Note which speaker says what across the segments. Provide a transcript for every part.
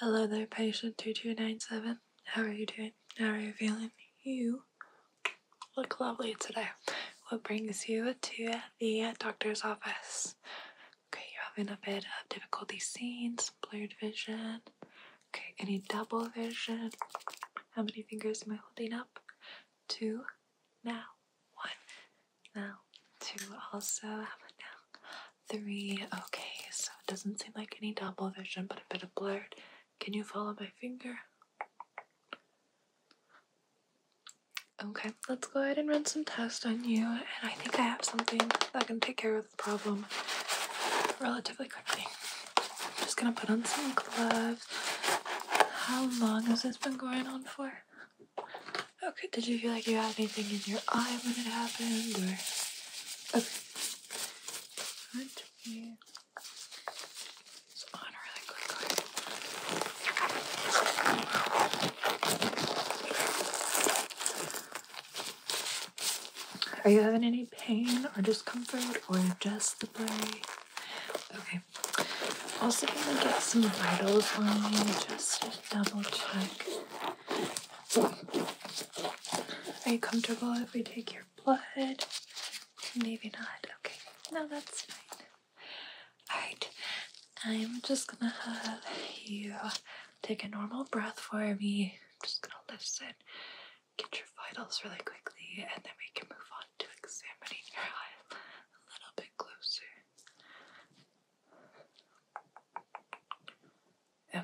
Speaker 1: Hello there, patient 2297. How are you doing? How are you feeling? You look lovely today. What brings you to the doctor's office? Okay, you're having a bit of difficulty seeing, some blurred vision. Okay, any double vision? How many fingers am I holding up? Two. Now, one now two also have about now three okay so it doesn't seem like any double vision but a bit of blur. can you follow my finger okay let's go ahead and run some tests on you and i think i have something that can take care of the problem relatively quickly i'm just gonna put on some gloves how long has this been going on for Okay, did you feel like you had anything in your eye when it happened, or...? Okay. Alright, on really quickly. Are you having any pain or discomfort, or just the blurry Okay. Also gonna get some vitals for me just to double check. Are you comfortable if we take your blood? Maybe not. Okay. No, that's fine. Alright. I'm just gonna have you take a normal breath for me. I'm just gonna listen, get your vitals really quickly, and then we can move on to examining your eyes a little bit closer.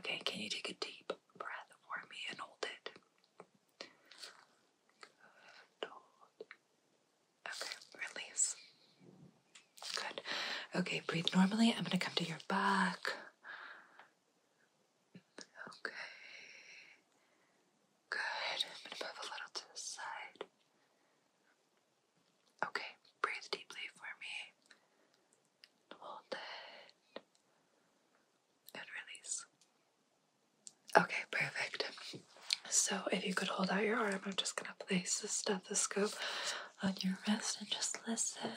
Speaker 1: Okay, can you take a deep breath for me and hold it? Okay, release. Good. Okay, breathe normally. I'm going to come to your back. Okay. Good. I'm going to move a little to the side. Okay, breathe deeply for me. Hold it. And release. Okay, perfect. So, if you could hold out your arm, I'm just going to place the stethoscope on your wrist and just listen.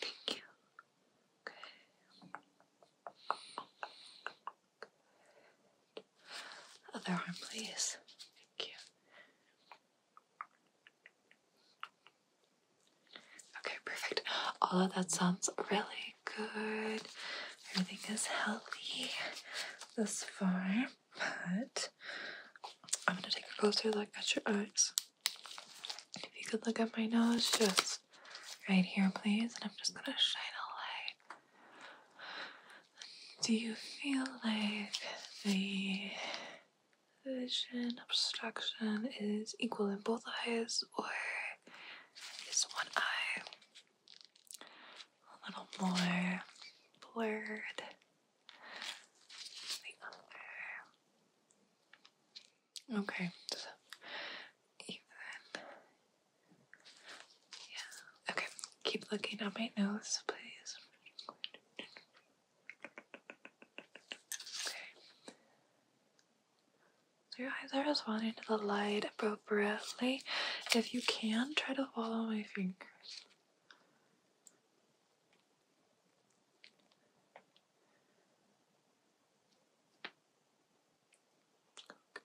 Speaker 1: Thank you. Okay. Other arm, please. Thank you. Okay, perfect. All of that sounds really good. Everything is healthy this far, but I'm gonna take a closer look at your eyes. If you could look at my nose just right here, please, and I'm just gonna shine a light do you feel like the vision obstruction is equal in both eyes or is one eye a little more blurred than the other? Okay, yeah. Okay. Keep looking at my nose, please. Okay. Your eyes are responding to the light appropriately. If you can, try to follow my fingers. Okay.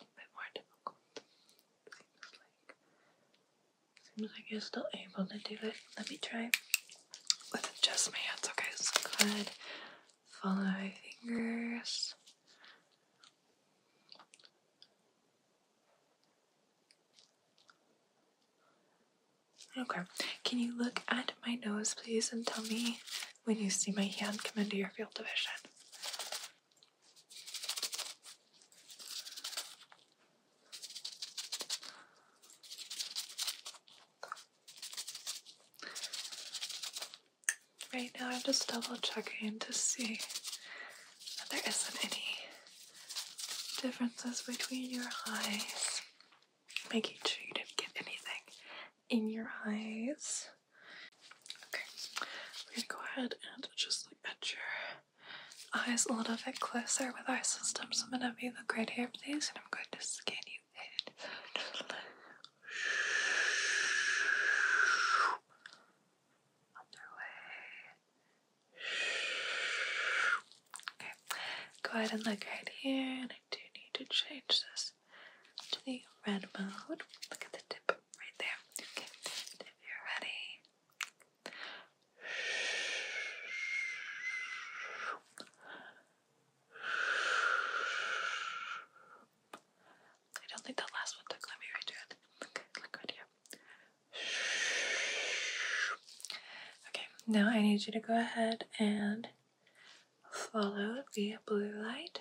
Speaker 1: A bit more difficult. Seems like you're still able to do it. Let me try with just my hands. Okay, so good. Follow my fingers. Okay, can you look at my nose, please, and tell me when you see my hand come into your field of vision? Right now, I'm just double checking to see that there isn't any differences between your eyes. Making sure you didn't get anything in your eyes. Okay, we're gonna go ahead and just look at your eyes a little bit closer with our system. So I'm gonna be look right here, please, and I'm going to scan you in. Underway, Okay, go ahead and look right here, and I do need to change this to the red mode. Look at the tip right there. Okay, if you're ready. I don't think that last one took. Let me redo it. Look, look right here. Okay, now I need you to go ahead and follow the blue light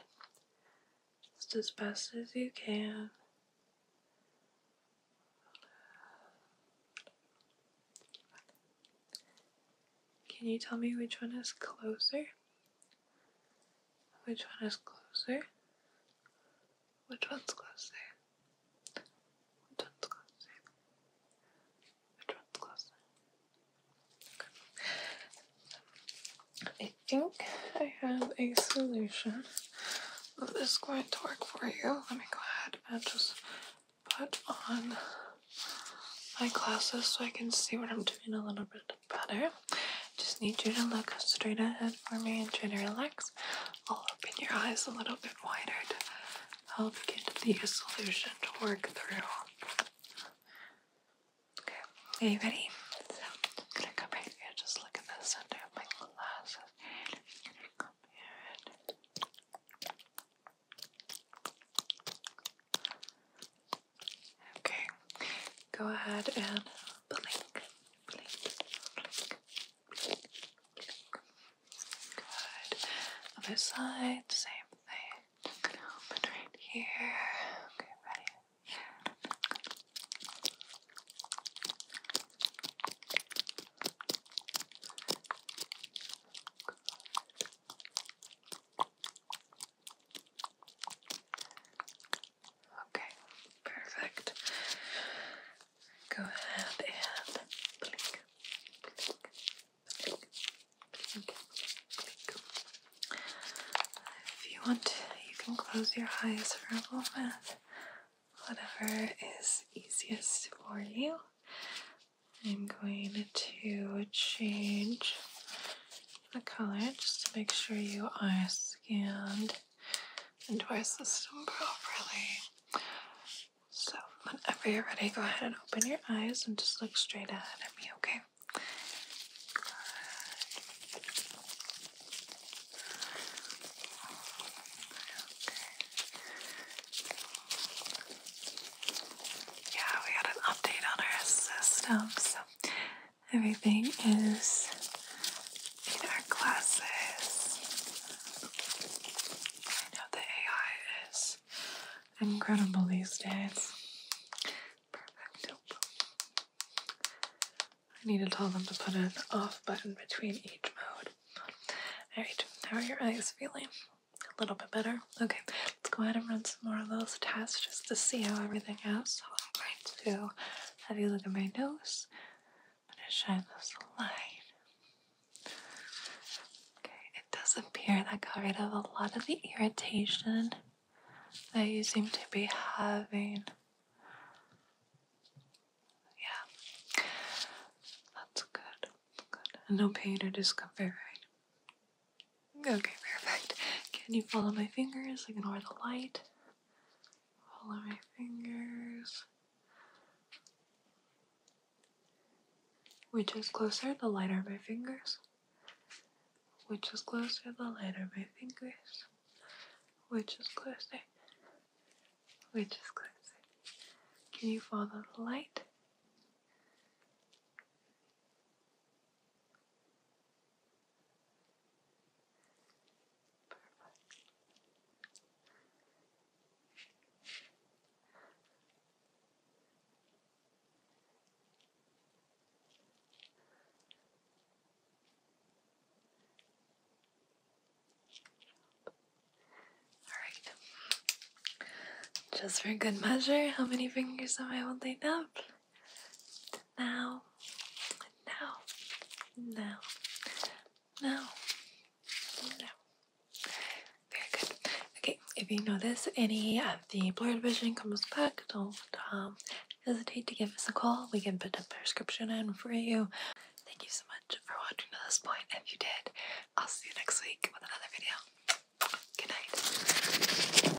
Speaker 1: just as best as you can. Can you tell me which one is closer? Which one is closer? Which one's closer? Which one's closer? Which one's closer? I think I have a solution that is going to work for you. Let me go ahead and just put on my glasses so I can see what I'm doing a little bit better. Just need you to look straight ahead for me and try to relax. I'll open your eyes a little bit wider to help get the solution to work through. Okay, are you ready? So gonna come back here, just look at the center my glasses. Okay, go ahead and blink, blink, blink, blink. Good. Other side, same thing. Just gonna open right here. Okay, ready? Good. Okay, perfect. Go ahead and blink, blink, blink, blink, blink. If you want you can close your eyes for a moment. Whatever is easiest for you. I'm going to change the color just to make sure you are scanned into our system properly. So, whenever you're ready, go ahead and open your eyes and just look straight ahead at me, okay? Okay. Yeah, we got an update on our system, so Everything is in our classes. I know the AI is incredible these days. Perfect. I need to tell them to put an off button between each mode. Alright, how are your eyes feeling? A little bit better? Okay, let's go ahead and run some more of those tests just to see how everything is. I'm going to have you look at my nose? I'm gonna shine this light. Okay, it does appear that got rid of a lot of the irritation that you seem to be having. Yeah, that's good. Good. No pain or discomfort, right? Okay, perfect. Can you follow my fingers? Ignore the light all my fingers. Which is closer, the lighter my fingers. Which is closer, the lighter my fingers. Which is closer, which is closer. Can you follow the light? Alright. Just for good measure, how many fingers am I holding up? Now, now, now, now, now. Very good. Okay, if you notice any of the blurred vision comes back, don't um, hesitate to give us a call. We can put a prescription in for you. Thank you so much for watching to this point. If you did, I'll see you next week with another video. Good night.